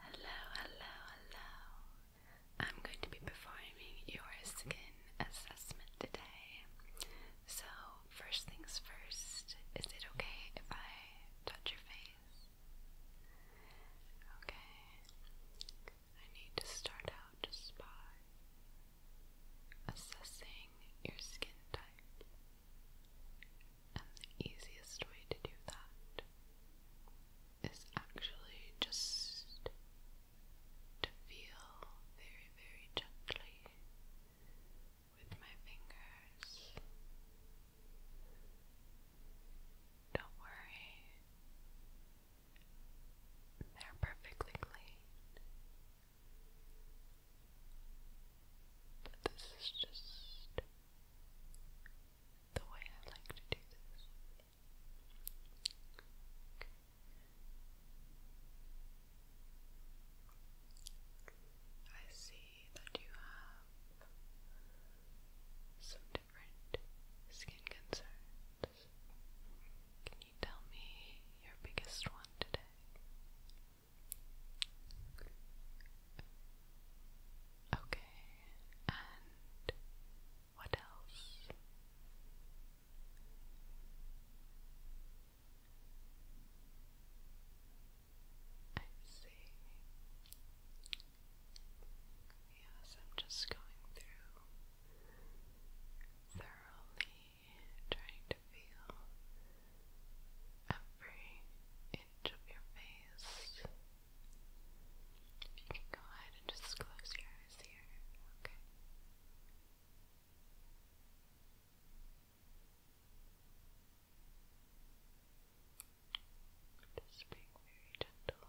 Hello, hello, hello. I'm going to be performing your skin assessment today. So, first things first, is it okay if I touch your face? Okay. I need to start out just by assessing your skin type. And the easiest way to do that is actually just to feel very, very gently with my fingers. Don't worry, they're perfectly clean. But this is just the way I like to do this. I see that you have some different skin concerns. Can you tell me your biggest one today? Okay, and what else? I see. Yes, I'm just going through thoroughly trying to feel every inch of your face you can go ahead and just close your eyes here, okay? Just being very gentle.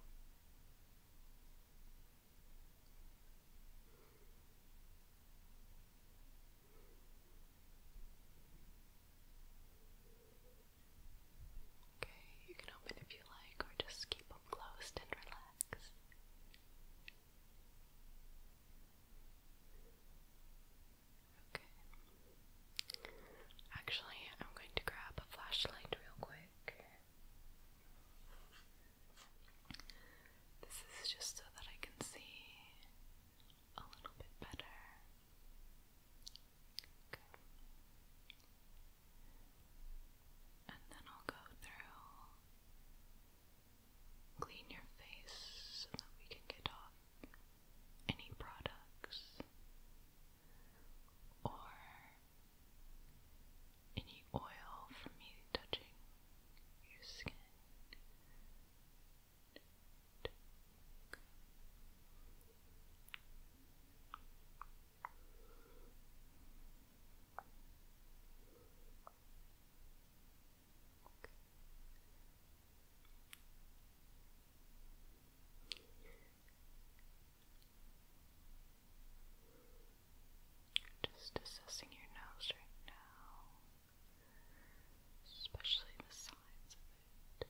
Okay, you can open if you like, or just keep them closed and relax. Okay. Actually, I'm going to grab a flashlight real quick. This is just so that I can see a little bit better. And then I'll go through, clean your face so that we can get off any products or any oil from me touching your skin. Just assessing your nose right now, especially the sides of it.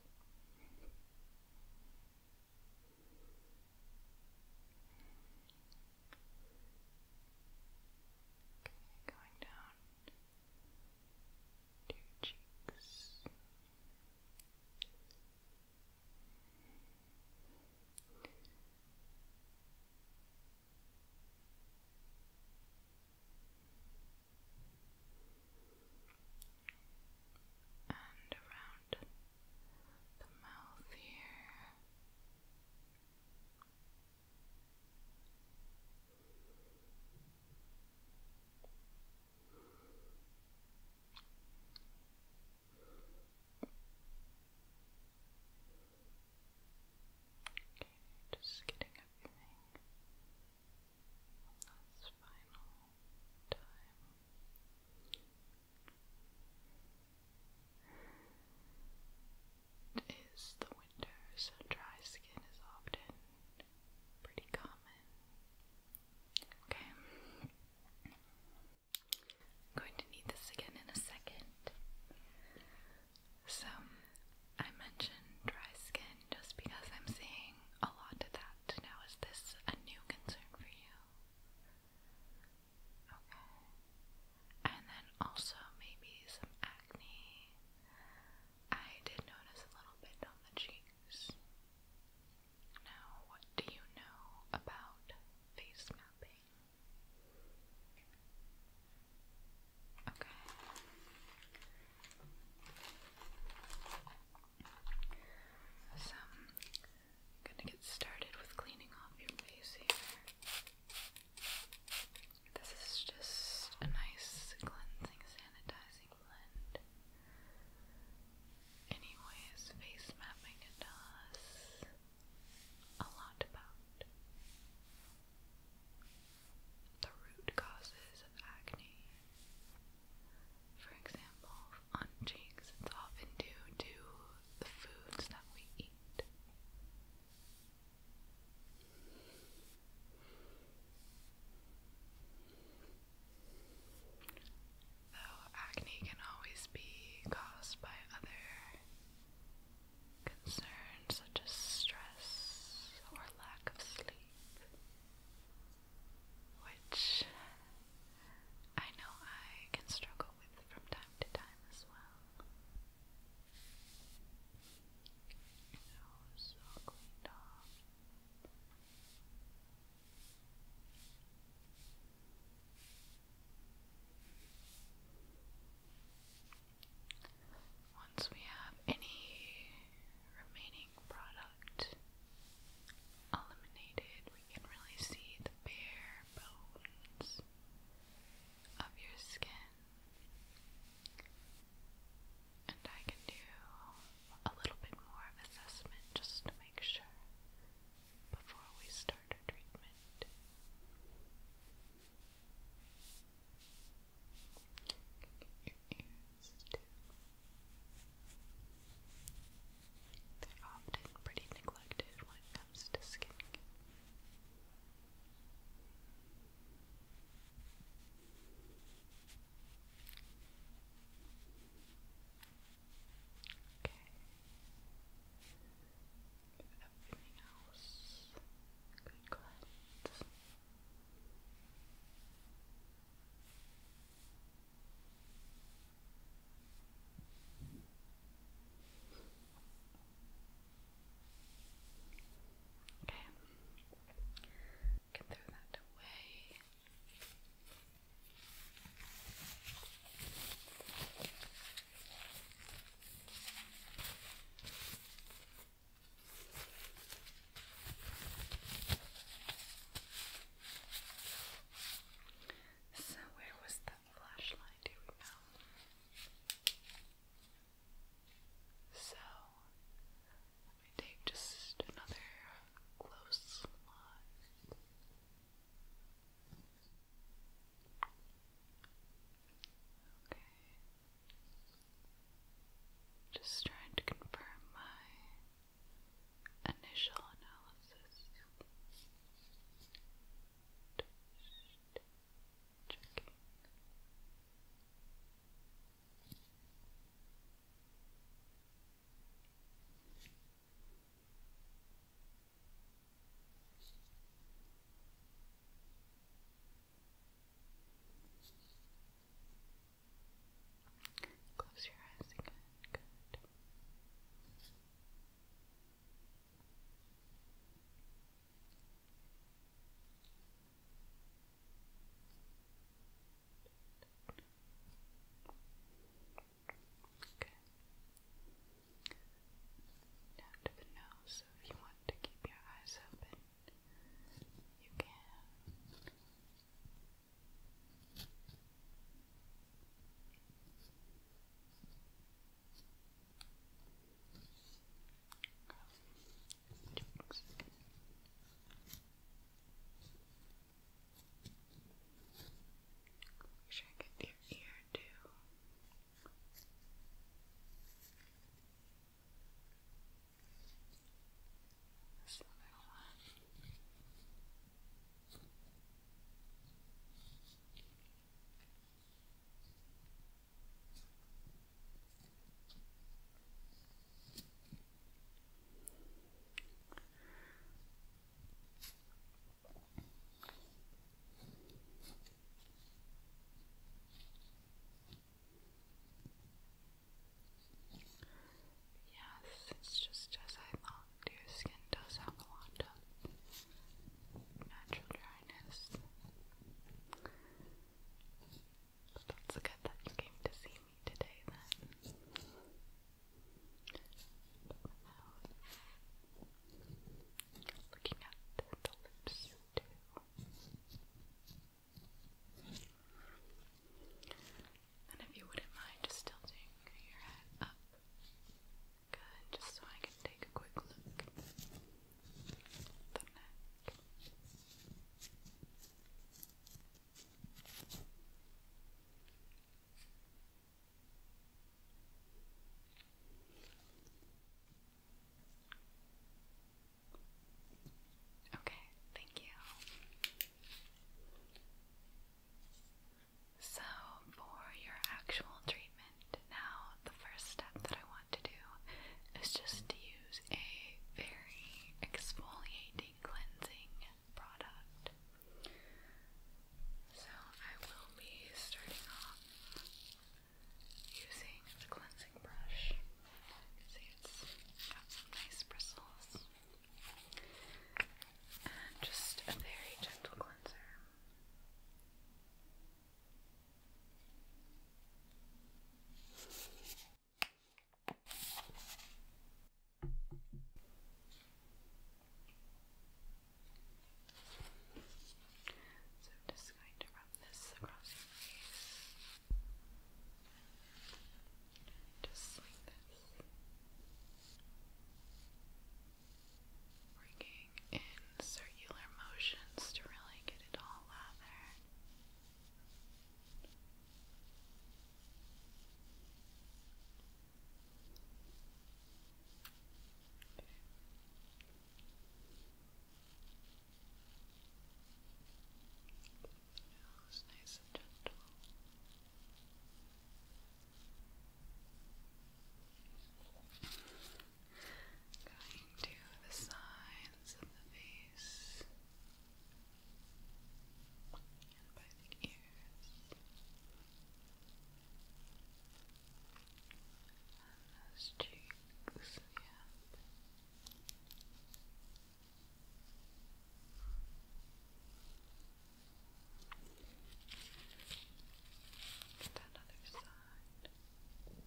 Okay, going down to your cheeks. Okay, and around the mouth here. Okay, just getting everything this the winter, so dry skin is often pretty common. Okay. I'm going to need this again in a second. So, I mentioned dry skin just because I'm seeing listening a lot to that. Now, is this a new concern for you? Okay. And then also maybe some acne. I did notice a little bit on the cheeks. Now, what do you know about face mapping? Okay. I'm gonna get started with cleaning off your face here. This is just a nice cleansing, sanitizing blend. Anyways, face mapping it does a lot about the root causes of acne for example, on cheeks, it's often due to the foods that we eat. Though acne can always be caused by other concerns such as stress or lack of sleep which I know I can struggle with from time to time as well. Once we have any remaining product eliminated. We can really see the bare bones of your skin. And I can do a little bit more of assessment just to make sure before we start our treatment. They're often pretty neglected when it comes to skincare. Okay. Everything else good cleanse. Okay. Okay. Can throw that away. So, where was that flashlight? Do we know? So, let me take just another close look. Okay. Just trying to confirm my initial analysis. Just checking. Okay. Close your eyes again. Good. Okay. Now to the nose, so if you want to keep your eyes open, you can. Make sure I get your ear too. Okay. This little Yes, it's just as I thought. Your skin does have a lot of natural dryness. But that's good that you came to see me today then. looking at the lips too. And if you wouldn't mind just tilting your head up. Good, just so I can take a quick look. Okay, thank you. So, for your actual treatment, now the first step that I want to do is just to use a very exfoliating cleansing product. So, I will be starting off using the cleansing brush. You it's got some nice bristles just a very gentle cleanser. So I'm just going to rub this across just like Working in circular motions to really get it all out It was nice and gentle. Going to the sides of the face and by the ears, and those cheeks, yeah. Just another side. Check again. Good.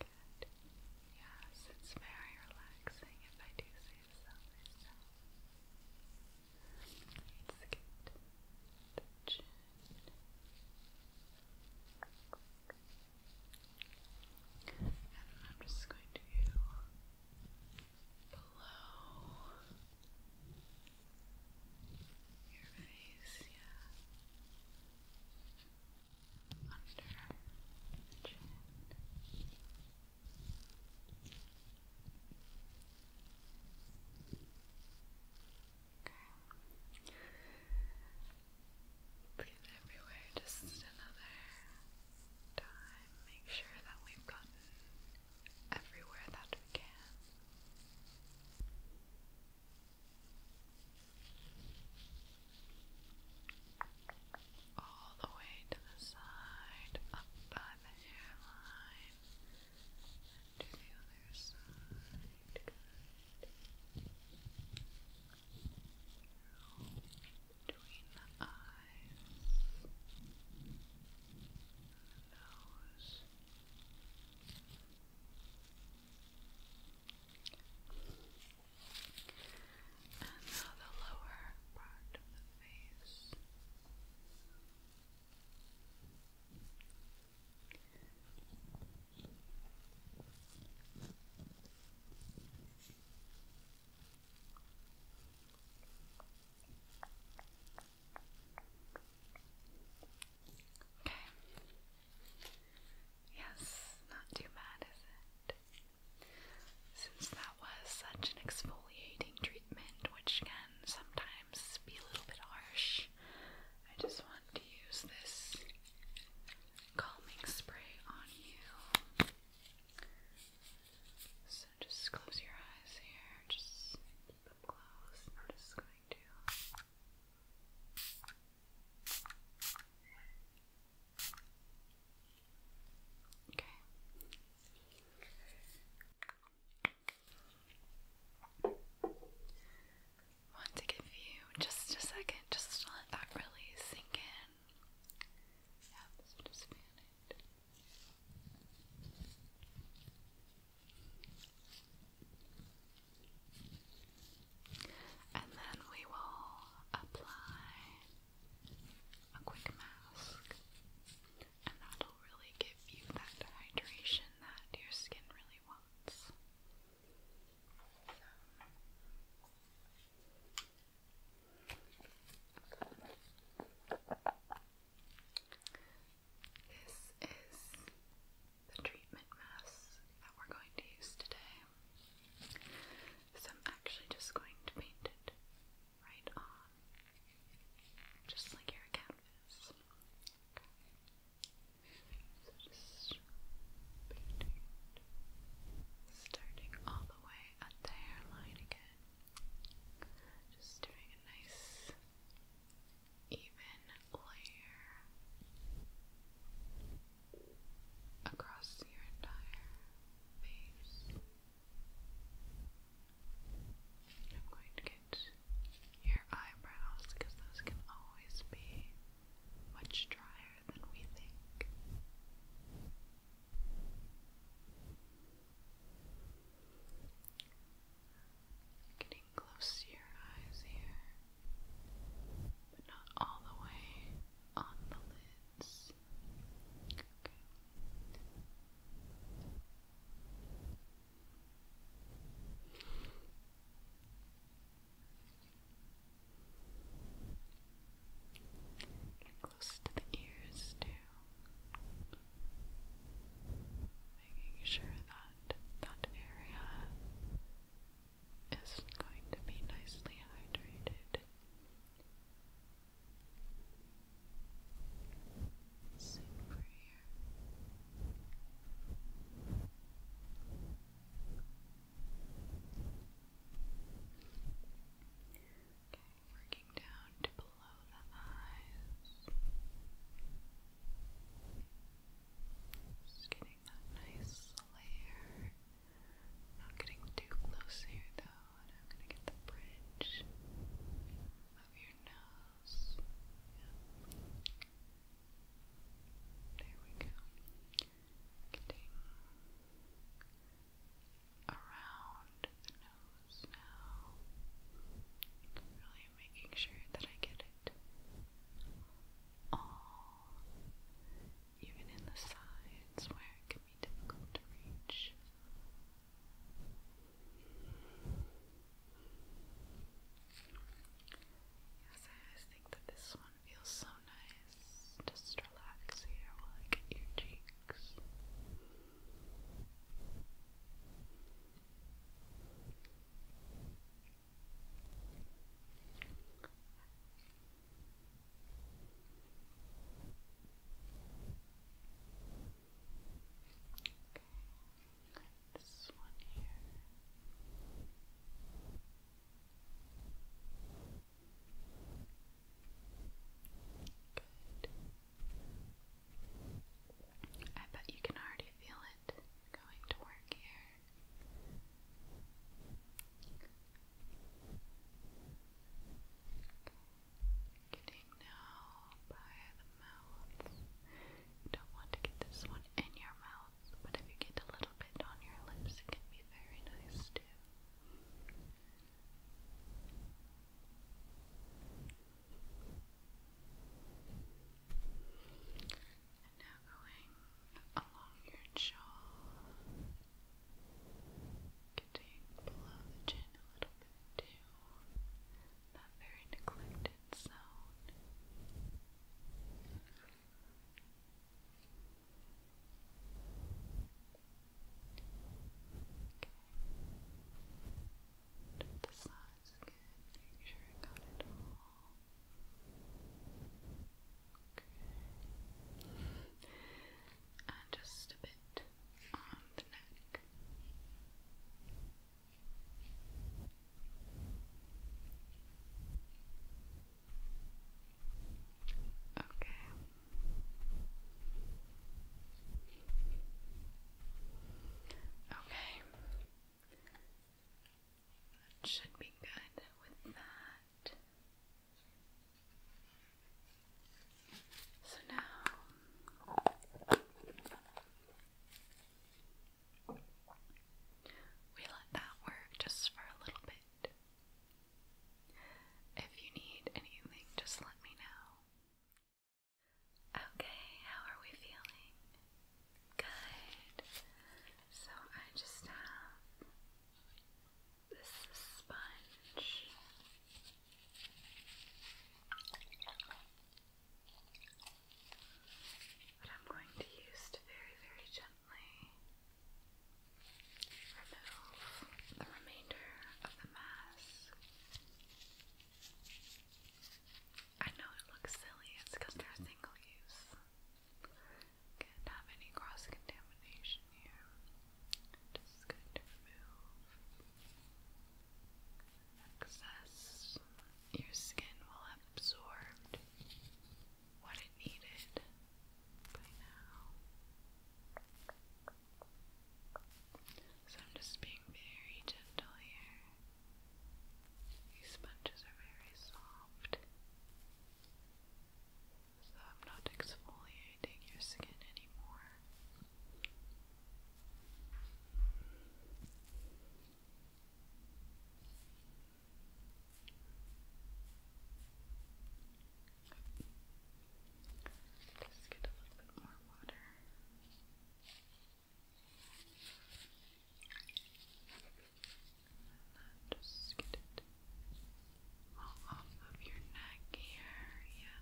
Good. Yes, it's very relaxing if I do say so myself. Let's get the chin. And I'm just going to below your face, yeah. Under the chin. Down Okay. Breathe everywhere, just another time. Make sure that we've gotten everywhere that we can. All the way to the side, up by the hairline to the other side. Between the eyes, the nose. And now the lower part of the face. Okay. Yes, not too bad, is it? Since that was such an exfoliating treatment, which can sometimes be a little bit harsh. I just want to use this calming spray on you. So just close your eyes here. Just keep them closed. I'm just going to. Okay want to give you just a second just let that really sink in. Yeah, so just fan And then we will apply a quick mask and that'll really give you that hydration that your skin really wants. This is the treatment mask that we're going to use today. So I'm actually just going to paint it right on, just like your canvas. So just starting all the way at the hairline again, just doing a nice even layer across your entire face. I'm going to get your eyebrows because those can always be much drier than we think. Getting close to your eyes here, but not all the way on the lids. Get close to the ears too. Making sure that that area is going to be nicely hydrated. Same over working down to below the eyes. Just getting that nice layer. Not getting too close here though, and I'm gonna get the bridge of your nose gloss. Yeah. There we go. around the nose now. Really making sure that I get it all, even in the sides where it can be difficult to reach. Yes, I think that this one feels so nice. Just relax here while I get your cheeks this I bet you can already feel it going to work here. Okay proceeding now by the mouth. You don't want to get this one in your mouth, but if you get a little bit on your lips, it can be very nice too. And now going along your jaw, getting below the chin a little bit too that very neglected zone. Okay. The size Make sure I got it all. And just a bit on the neck. Okay. Okay. should be good with that. So now we let that work just for a little bit. If you need anything, just let me know. Okay, how are we feeling? Good. So I just have this sponge. But I'm going to use to very, very gently remove the remainder of the mask. I know it looks silly, it's because they're single use. Can't have any cross contamination here. Just going to remove excess, your skin will have absorbed what it needed by now. So I'm just being very gentle here. These sponges are very soft. So I'm not exfoliating your skin anymore. Just get a little bit more water. And then just get it all off of your neck here, yeah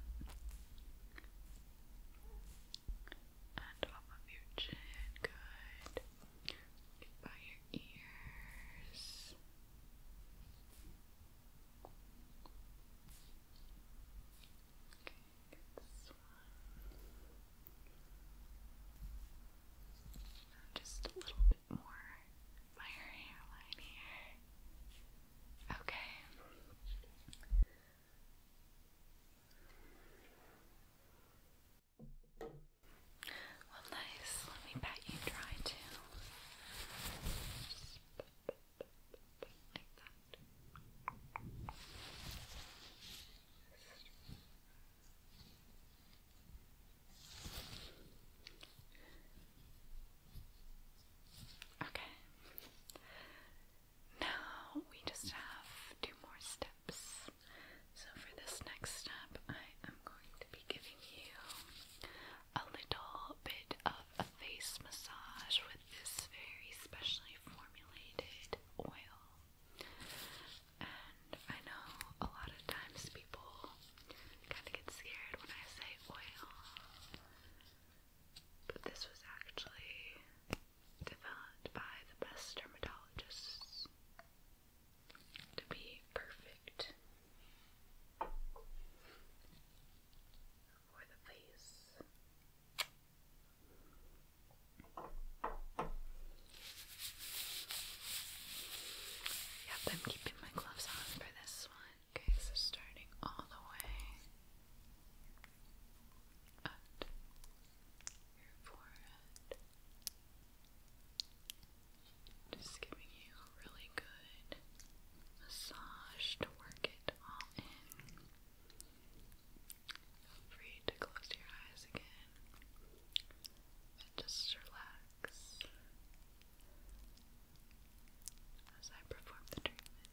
and off of your chin, good. By your ears. Okay, this one. Just a little bit more by your hairline here. Okay. Well, nice. Let me pat you dry too. Okay. Now we just have two more steps. So, for this next step, I am going to be giving you a little bit of a face massage with this very specially formulated oil. And I know a lot of times people kind of get scared when I say oil, but this was actually developed by the best dermatologists to be perfect for the face. Yep, I'm keeping my gloves on for this one. Okay, so starting all the way at Just giving you really good massage to work it all in. Feel free to close your eyes again and just relax as I perform the treatment.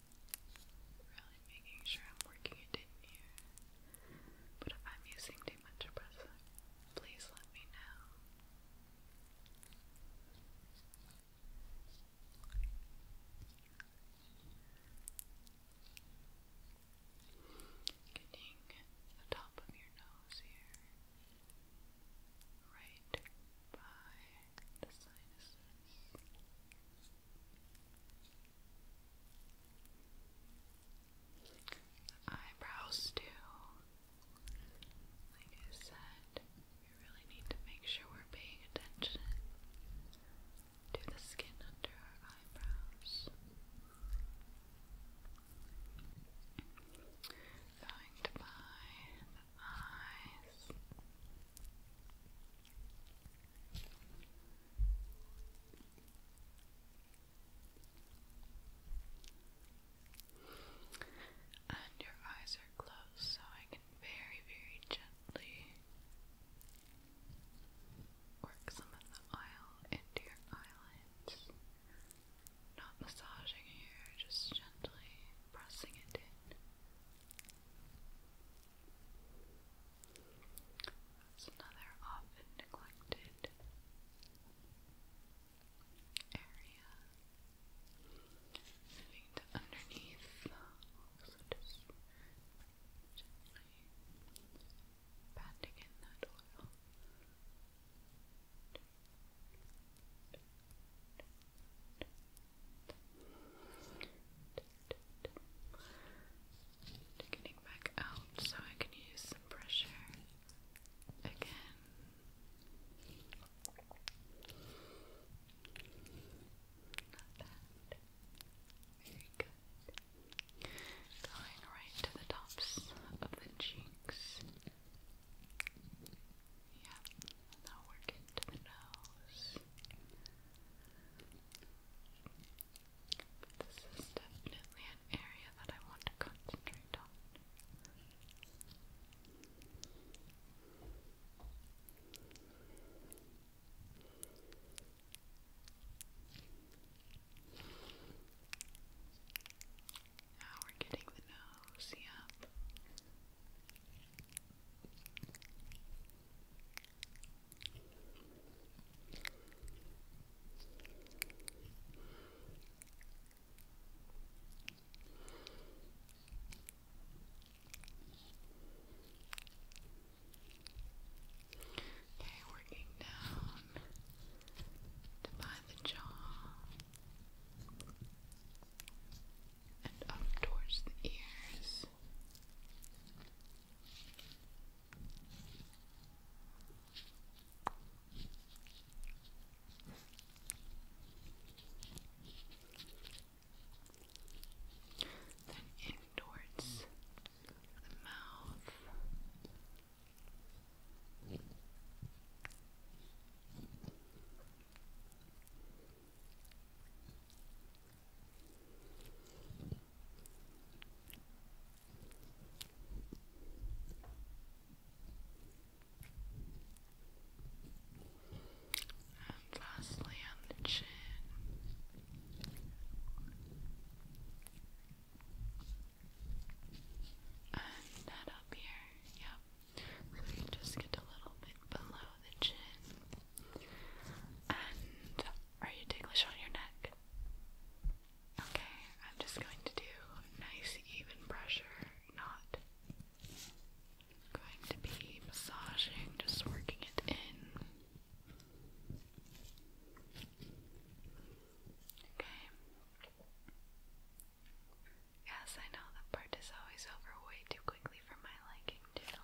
Really making sure I'm working it in here. But if I'm using too much oppressor, please let me know. Getting the top of your nose here, right by the sinuses. Eyebrows too. Like I said, we really need to make sure we're paying attention to the skin under our eyebrows. Going to the eyes. And your eyes are closed, so I can very, very gently work some of the oil into your eyelids. Not massaging here, just gently pressing it in. That's another often neglected area. Moving to underneath, also just gently patting in that oil. Getting back out so I can use some pressure again. Very good. Going right to the tops of the cheeks. Yeah, now we're the nose. This is definitely an area that I want to concentrate on. Now we're getting the nose, yep. Okay, working down by the jaw and up towards the ears. Then in the mouth. And lastly, on the chin. And that up here, yep. So you just get a little bit below the chin. And are you ticklish on your neck? Okay, I'm just going to do nice even pressure, not going to be massaging, just working it in. Okay. Yes, I know that part is always over way too quickly for my liking, too.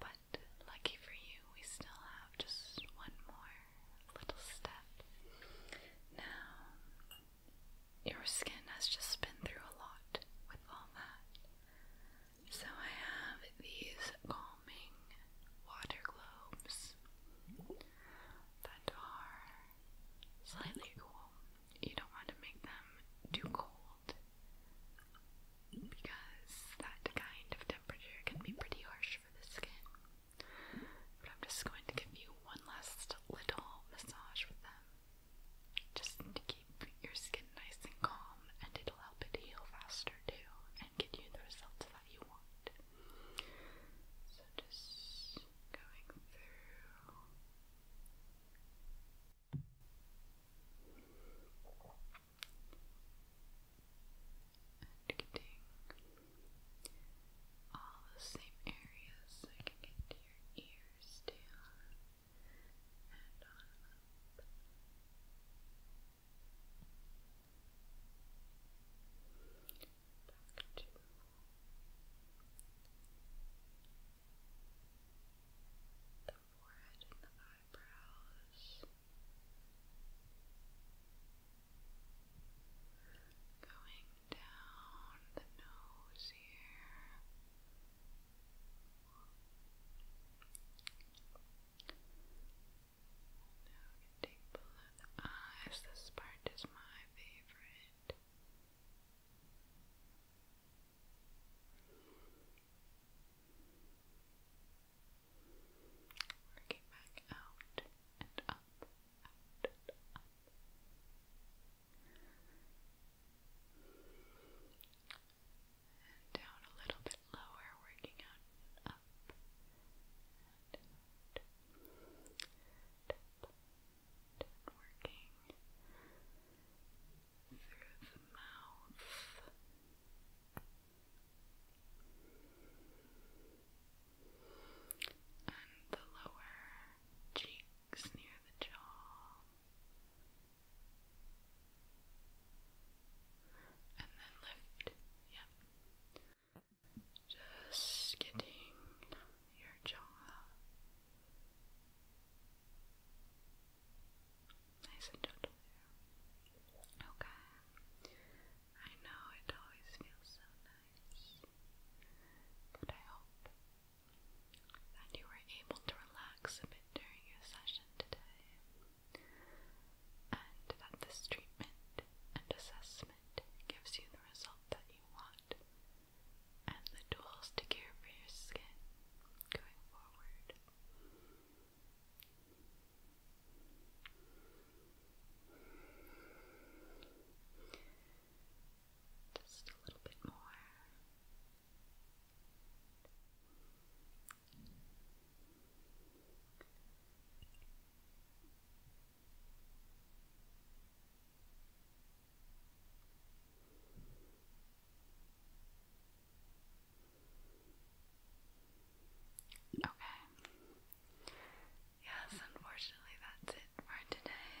But lucky for you, we still have just one more little step. Now, your skin has just been through a lot with all that. So I have these calming water globes that are slightly cool you don't want to make them too cold because that kind of temperature can be pretty harsh for the skin. But I'm just going to give you one last little massage with them just to keep your skin nice and calm, and it'll help it heal faster too and get you the results that you want. just going through and getting all the same areas so I your ears down and on Back to the forehead and the eyebrows. Going down the nose here. Now we below the eyes. This part is my favorite. Working back out and up, out and up. And down a little bit lower, working out up and out. Tap, through the mouth. And the lower cheeks near the jaw, and then lift. Yep, just getting your jaw. Nice and gentle Okay. I know it always feels so nice, but I hope that you were able to relax during your session today, and that this treatment and assessment gives you the result that you want and the tools to care for your skin going forward. Just a little bit more. Okay. Yes, unfortunately, that's it for today.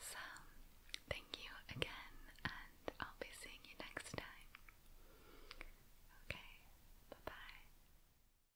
So, thank you again, and I'll be seeing you next time. Okay, bye bye.